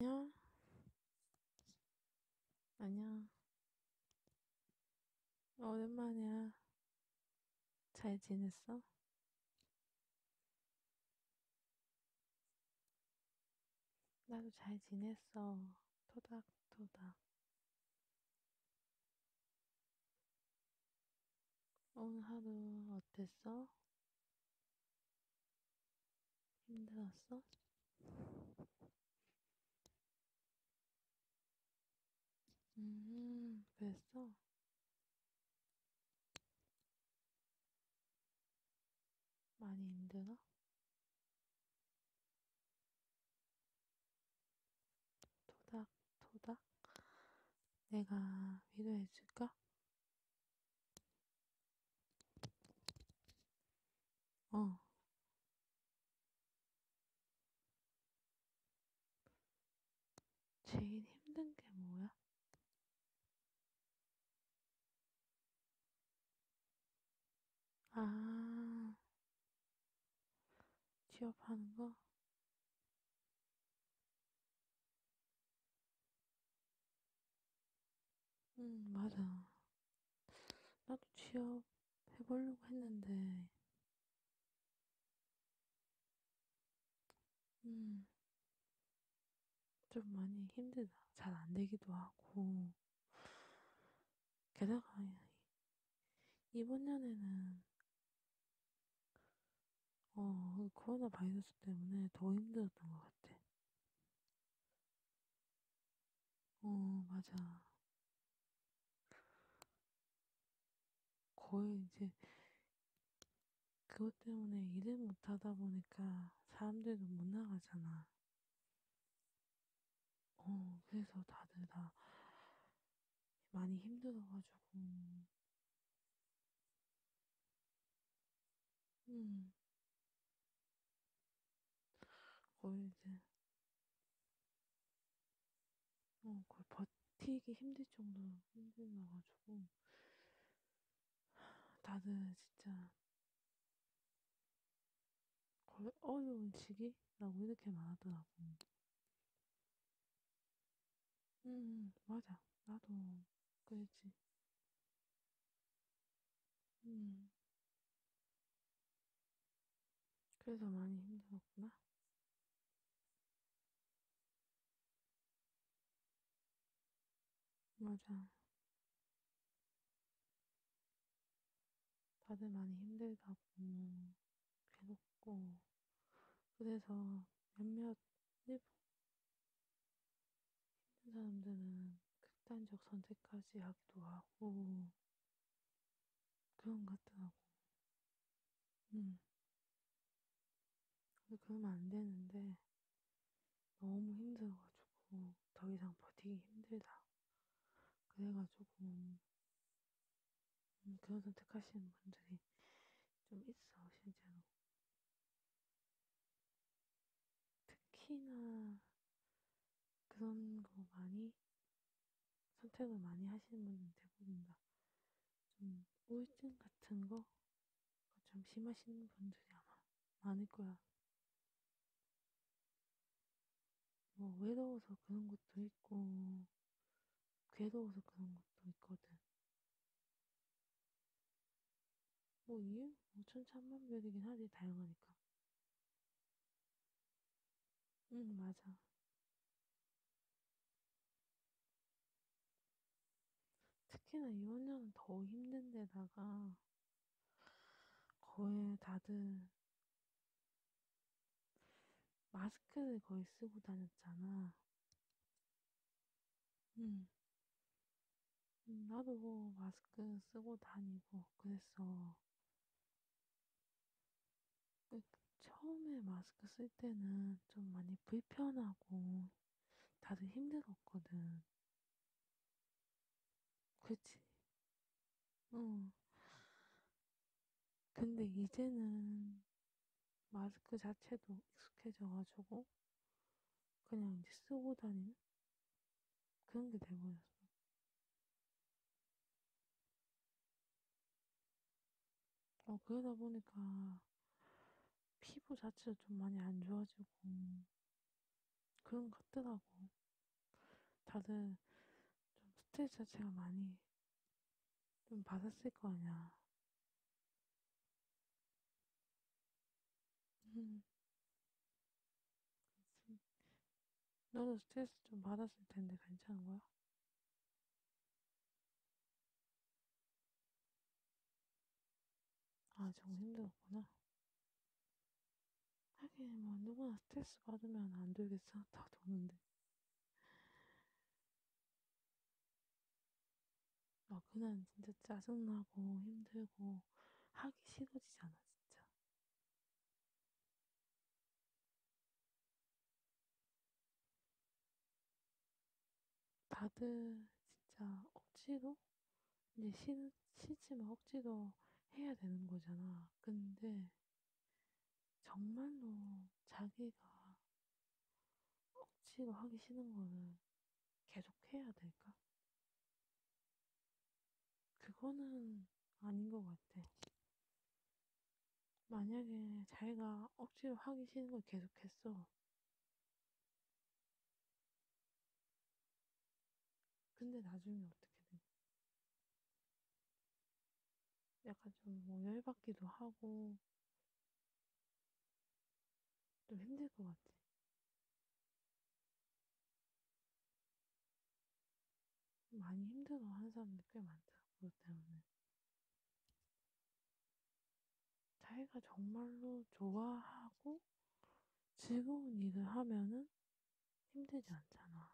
안녕. 안녕. 어, 오랜만이야. 잘 지냈어? 나도 잘 지냈어. 토닥토닥. 오늘 하루 어땠어? 힘들었어? 음, 그랬어? 많이 힘들어? 도닥, 도닥. 내가 위로해줄까? 어. 제일 힘든 게 뭐야? 아, 취업하는 거? 응, 음, 맞아. 나도 취업 해보려고 했는데, 음, 좀 많이 힘들다. 잘 안 되기도 하고, 게다가 이번 년에는 어, 코로나 바이러스 때문에 더 힘들었던 것 같아. 어, 맞아. 거의 이제 그것 때문에 일을 못하다 보니까 사람들도 못 나가잖아. 어, 그래서 다들 다 많이 힘들어가지고. 음. 거의 이제, 어, 거의 버티기 힘들 정도로 힘들어가지고. 다들 진짜 어려운 시기라고 이렇게 말하더라고. 음, 음, 맞아. 나도 그랬지. 음, 그래서 많이 힘들었구나. 맞아. 다들 많이 힘들다고 괴롭고 그래서 몇몇 일부 힘든 사람들은 극단적 선택까지 하기도 하고 그런 것 같더라고. 음. 근데 그러면 안 되는데 너무 힘들어가지고 더 이상 버티기 힘들다. 그래가지고 음, 그런 선택하시는 분들이 좀 있어 실제로 특히나 그런 거 많이 선택을 많이 하시는 분은 대부분 다좀 우울증 같은 거 좀 심하신 분들이 아마 많을 거야. 뭐 외로워서 그런 것도 있고 괴로워서 그런 것도 있거든. 뭐 이유? 뭐 천차만별이긴 하지 다양하니까. 응 맞아. 특히나 이혼녀는 더 힘든 데다가 거의 다들 마스크를 거의 쓰고 다녔잖아. 응. 응 음, 나도 뭐 마스크 쓰고 다니고 그랬어. 그 처음에 마스크 쓸 때는 좀 많이 불편하고 다들 힘들었거든. 그치? 어. 근데 이제는 마스크 자체도 익숙해져가지고 그냥 이제 쓰고 다니는 그런 게 돼버렸어. 어, 그러다 보니까 피부 자체도 좀 많이 안 좋아지고 그런 것 같더라고. 다들 좀 스트레스 자체가 많이 좀 받았을 거 아니야. 음. 그치. 너도 스트레스 좀 받았을 텐데 괜찮은 거야? 아, 정 힘들었구나. 하긴 뭐 누구나 스트레스 받으면 안 돌겠어? 다 도는데. 아 그날 진짜 짜증나고 힘들고 하기 싫어지잖아 진짜. 다들 진짜 억지로 이제 싫, 싫지만 억지로 해야 되는 거잖아. 근데 정말로 자기가 억지로 하기 싫은 거는 계속 해야 될까? 그거는 아닌 것 같아. 만약에 자기가 억지로 하기 싫은 걸 계속했어. 근데 나중에 어떻게 돼? 약간 좀뭐 열받기도 하고 좀 힘들 것 같지? 많이 힘들어하는 사람들 꽤 많더라 그것 때문에 자기가 정말로 좋아하고 즐거운 일을 하면은 힘들지 않잖아.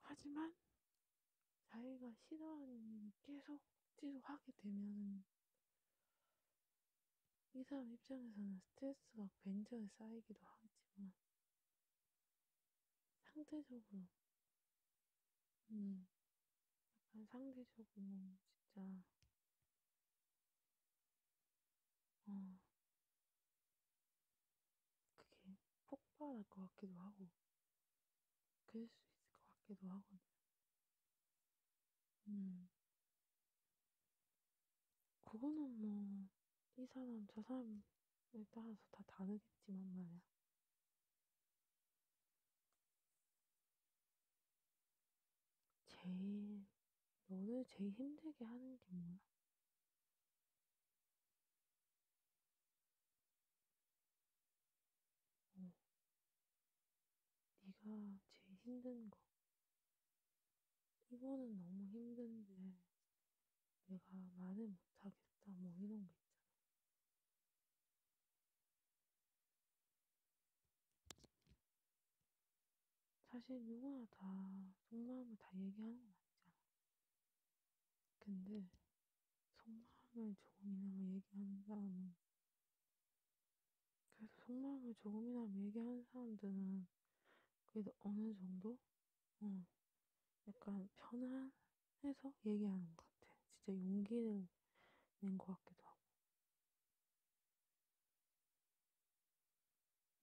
하지만 자기가 싫어하는 일을 계속 억지로 하게 되면 이 사람 입장에서는 스트레스가 벤저에 쌓이기도 하겠지만 상대적으로 음 약간 상대적으로 진짜 어, 그게 폭발할 것 같기도 하고, 그럴 수 있을 것 같기도 하거든. 음, 그거는 뭐, 이 사람, 저 사람에 따라서 다 다르겠지만 말이야. 제일 너를 제일 힘들게 하는 게 뭐야? 어. 네가 제일 힘든 거. 이거는 너무 힘든데 내가 말을 못하겠다 뭐 이런 거 있잖아. 사실 누구나 다 속마음을 다 얘기하는 건 아니잖아. 근데 속마음을 조금이나마 뭐 얘기하는 사람은 그래서 속마음을 조금이나마 뭐 얘기하는 사람들은 그래도 어느 정도 응. 어, 약간 편안해서 얘기하는 것 같아. 진짜 용기를 낸것 같기도 하고.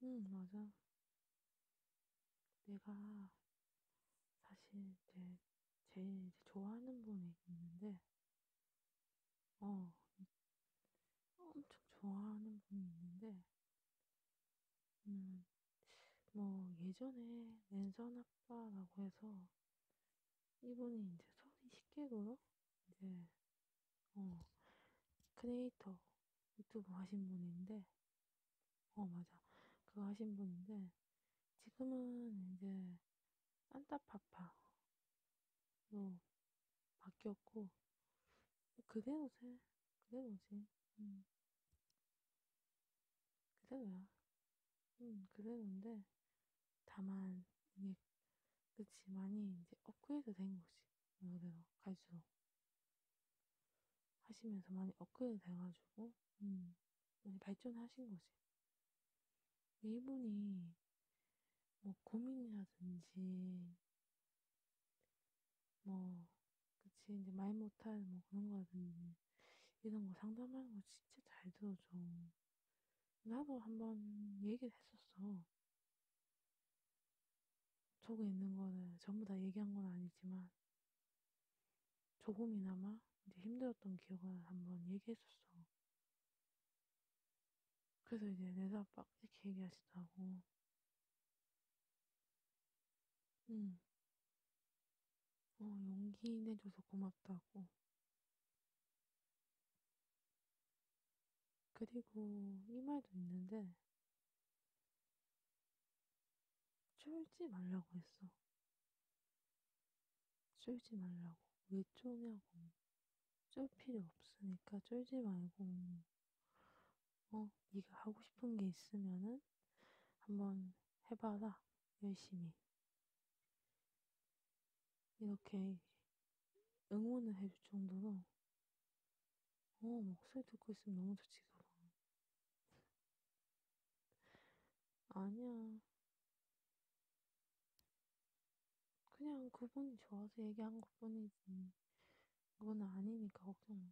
응, 맞아. 내가 사실 이제 제일 이제 좋아하는 분이 있는데, 어, 엄청 좋아하는 분이 있는데, 음, 뭐 예전에 랜선 아빠라고 해서 이분이 이제 손이 식객으로 이제 어 크리에이터 유튜브 하신 분인데 어 맞아 그거 하신 분인데 지금은 이제 산타파파로 바뀌었고 그대로세 그대로지 음. 그대로야 음 그대로인데 다만 이게 그 집안이 이제 업그레이드 된 거지 그대로 갈수록 하시면서 많이 업그레이드 돼가지고 음, 많이 발전하신 거지 이분이 뭐 고민이라든지 뭐 그치 이제 말 못할 뭐 그런 거라든지 이런 거 상담하는 거 진짜 잘 들어줘 나도 한 번 얘기를 했었어. 저거 있는 거는 전부 다 얘기한 건 아니지만 조금이나마 이제 힘들었던 기억을 한번 얘기했었어. 그래서 이제 내가 빡 이렇게 얘기하시더라고. 응. 어, 용기 내줘서 고맙다고. 그리고 이 말도 있는데 쫄지 말라고 했어. 쫄지 말라고. 왜 쫄냐고. 쫄 필요 없으니까 쫄지 말고 어 네가 하고 싶은 게 있으면은 한번 해봐라 열심히 이렇게 응원을 해줄 정도로 어 목소리 듣고 있으면 너무 좋지 그거 아니야 그냥 그분이 좋아서 얘기한 것뿐이지 그건 아니니까 걱정 마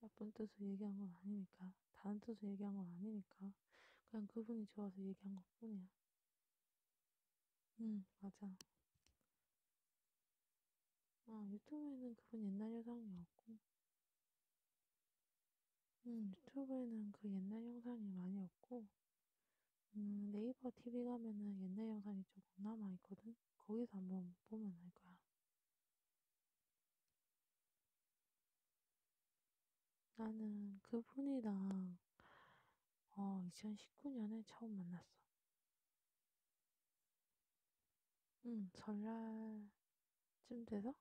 나쁜 뜻으로 얘기한 건 아니니까 다른 뜻으로 얘기한 건 아니니까 그냥 그분이 좋아서 얘기한 것뿐이야 응, 맞아. 아, 유튜브에는 그런 옛날 영상이 없고, 음, 유튜브에는 그 옛날 영상이 많이 없고, 음, 네이버 TV 가면은 옛날 영상이 조금 남아있거든? 거기서 한번 보면 알 거야. 나는 그분이랑 어, 2019년에 처음 만났어. 응, 설날쯤 돼서?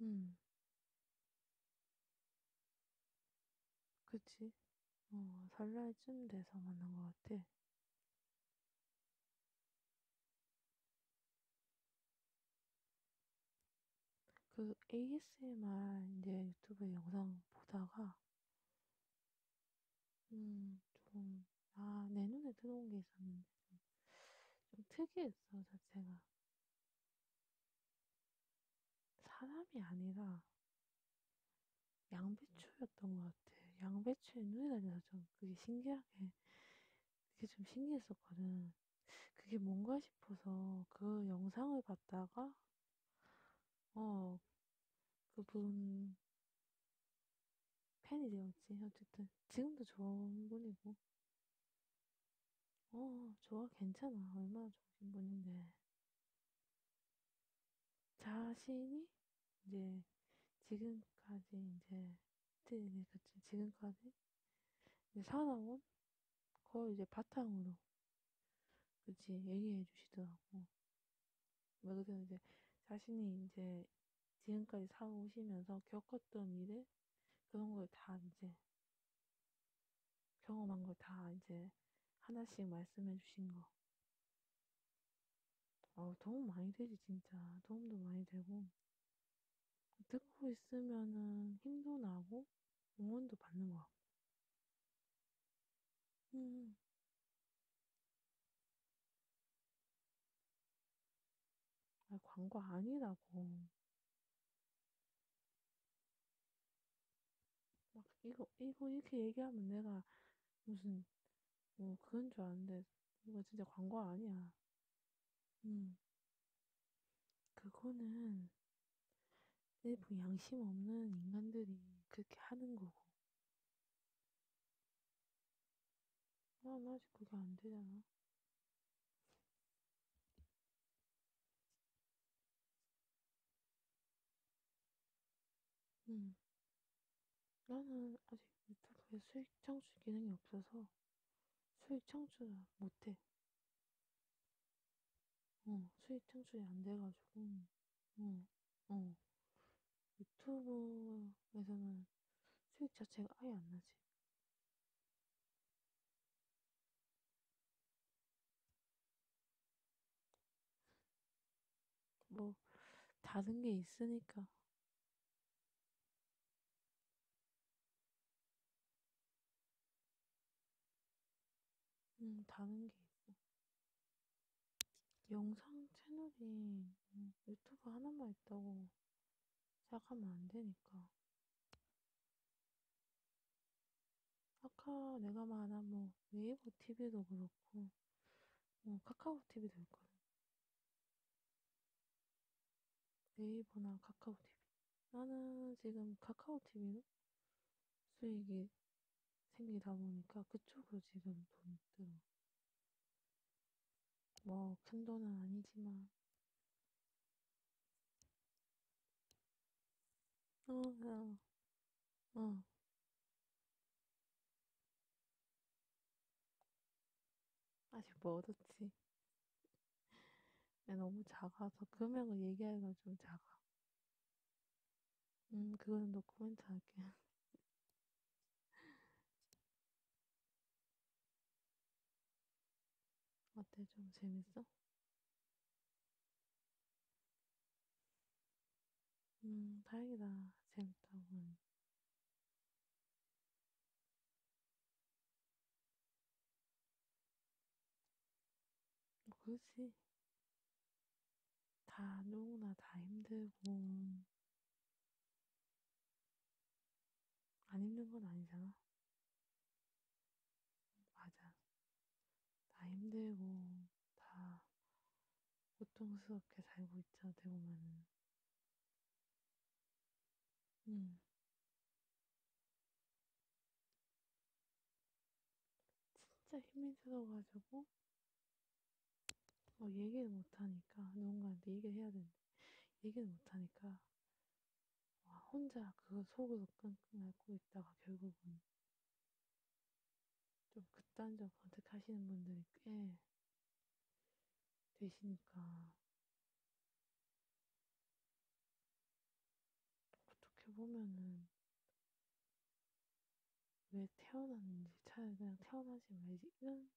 응, 그치? 어, 설날쯤 돼서 만난 것 같아. 그 ASMR 이제 유튜브 영상 보다가 음, 좀, 아, 내 눈에 들어온 게 있었는데, 좀, 좀 특이했어, 자체가. 사람이 아니라, 양배추였던 것 같아. 양배추에 눈이 달려서 좀 그게 신기하게, 그게 좀 신기했었거든. 그게 뭔가 싶어서 그 영상을 봤다가 어 그분 팬이 되었지 어쨌든 지금도 좋은 분이고 어 좋아 괜찮아 얼마나 좋으신 분인데 자신이 이제 지금까지 이제 지금까지 사나원? 그걸 이제 바탕으로, 그치, 얘기해 주시더라고. 그래서 이제 자신이 이제 지금까지 살아오시면서 겪었던 일에 그런 걸 다 이제 경험한 걸 다 이제 하나씩 말씀해 주신 거. 어, 도움 많이 되지, 진짜. 도움도 많이 되고. 듣고 있으면은 힘도 나고 응원도 받는 것 같고. 음. 아, 광고 아니라고. 막 이거 이거 이렇게 얘기하면 내가 무슨 뭐 그런 줄 아는데 이거 진짜 광고 아니야. 음. 그거는 일부 양심 없는 인간들이 그렇게 하는 거고. 난 아, 아직 그게 안 되잖아. 음. 나는 아직 유튜브에 수익 창출 기능이 없어서 수익 창출 못해. 어, 수익 창출이 안 돼가지고, 어, 어. 유튜브에서는 수익 자체가 아예 안 나지. 뭐, 다른 게 있으니까. 음, 다른 게 있고. 영상 채널이 음, 유튜브 하나만 있다고 시작하면 안 되니까. 아까 내가 말한 뭐 네이버 TV도 그렇고, 뭐 카카오 TV도 있거든. 네이버나 카카오TV. 나는 지금 카카오TV로 수익이 생기다 보니까 그쪽으로 지금 돈 들어. 뭐, 큰 돈은 아니지만. 어, 어, 어. 아직 뭐 얻었지? 네, 너무 작아서 금액을 얘기하기가 좀 작아. 음, 그거는 노코멘트 할게. 어때? 좀 재밌어? 음, 다행이다. 재밌다고. 그렇지. 다 누구나 다 힘들고 안 힘든 건 아니잖아. 맞아. 다 힘들고 다 고통스럽게 살고 있죠. 어떻게 보면은. 응. 진짜 힘이 들어가지고 뭐 얘기를 못하니까 누군가한테 얘기를 해야 되는데 얘기를 못하니까 와, 혼자 그 속으로 끙끙 앓고 있다가 결국은 좀 극단적 선택하시는 분들이 꽤 되시니까 어떻게 보면은 왜 태어났는지 차라리 그냥 태어나지 말지 이런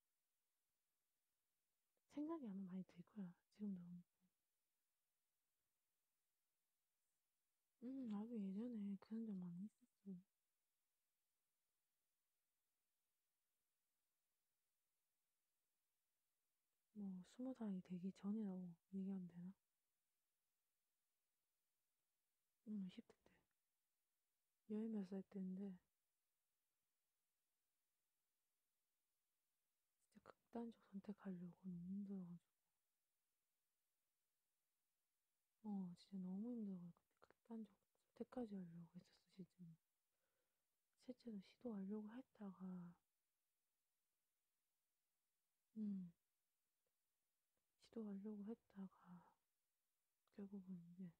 생각이 아마 많이 들 거야 지금도 음 나도 예전에 그런 적 많이 있었어 뭐 스무 살이 되기 전이라고 얘기하면 되나? 응, 10대 때. 열몇살 때인데 진짜 극단적 선택하려고 너무 힘들어가지고 어, 진짜 너무 힘들어가지고 극단적 선택까지 하려고 했었어, 진짜. 실제로 시도하려고 했다가 음 시도하려고 했다가 결국은 이제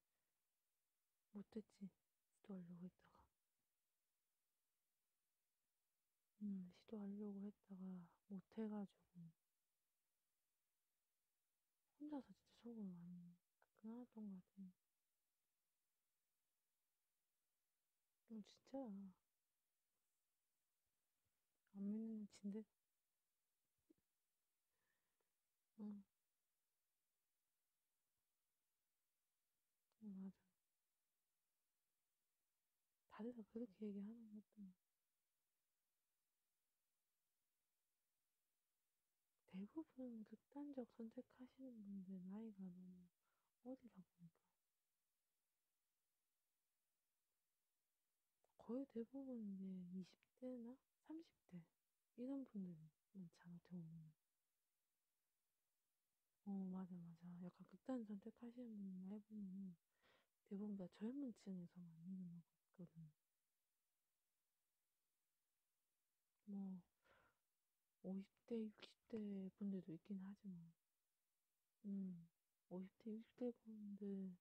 못했지 시도하려고 했다가 음 시도하려고 했다가 못해가지고 혼자서 진짜 속을 많이 끊어놨던 것 같아요. 너 진짜 안 믿는 눈치인데? 응. 응, 맞아. 다들 다 그렇게 얘기하는 것같 대부분 극단적 선택하시는 분들 나이가 너무 어리다 보니까 거의 대부분 이제 20대나 30대 이런 분들 많잖아 어떻게 보면 어 맞아 맞아 약간 극단 선택하시는 분들 해보면 대부분 다 젊은 층에서 많이 일어나고 있거든 뭐 50대, 60대 분들도 있긴 하지만, 뭐. 음, 50대, 60대 분들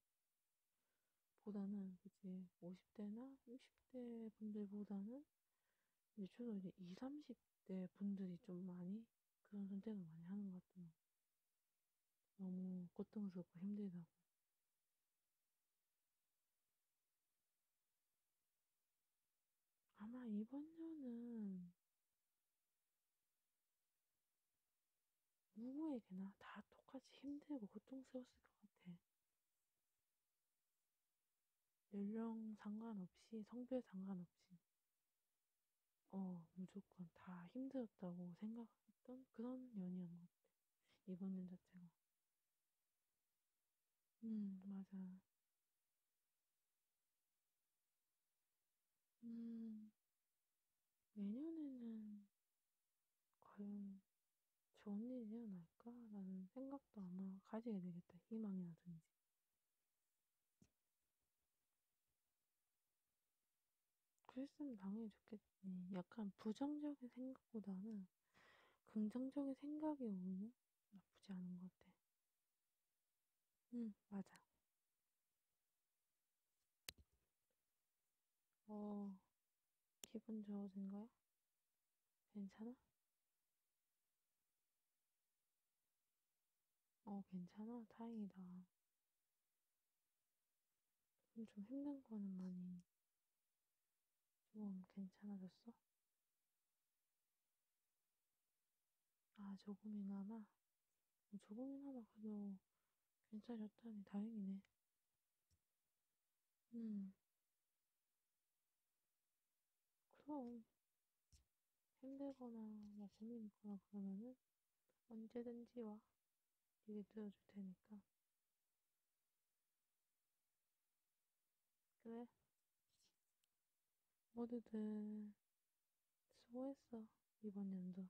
보다는, 그치, 50대나 60대 분들보다는, 이제 주로 이제 20, 30대 분들이 좀 많이 그런 선택을 많이 하는 것 같아요. 너무 고통스럽고 힘들다고. 아마 이번 년은 누구에게나 다 똑같이 힘들고 고통스러웠을 것 같아. 연령 상관없이, 성별 상관없이. 어, 무조건 다 힘들었다고 생각했던 그런 년이었던 것 같아. 이번 년 자체가. 음 맞아. 음. 내년에는 과연 좋은 일이 일어날까라는 생각도 아마 가지게 되겠다. 희망이라든지. 그랬으면 당연히 좋겠지. 약간 부정적인 생각보다는 긍정적인 생각이 오는 나쁘지 않은 것 같아. 응, 맞아. 어, 기분 좋아진 거야? 괜찮아? 어, 괜찮아? 다행이다. 좀 힘든 거는 많이 좀 괜찮아졌어? 아, 조금이나마? 어, 조금이나마 그래도 괜찮았다니 다행이네. 음. 그럼. 힘들거나 뭐 재미있거나 그러면은 언제든지 와. 얘기 들어줄 테니까. 그래 모두들 수고했어 이번 연도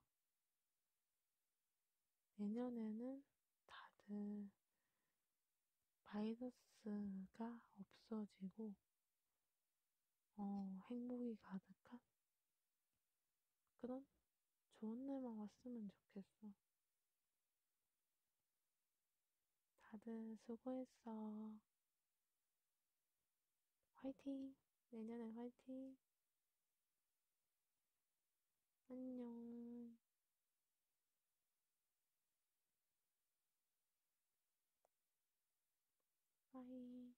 내년에는 다들 바이러스가 없어지고 어, 행복이 가득한 그런 좋은 날만 왔으면 좋겠어. 다들 수고했어. 화이팅! 내년에 화이팅! 안녕. 빠이.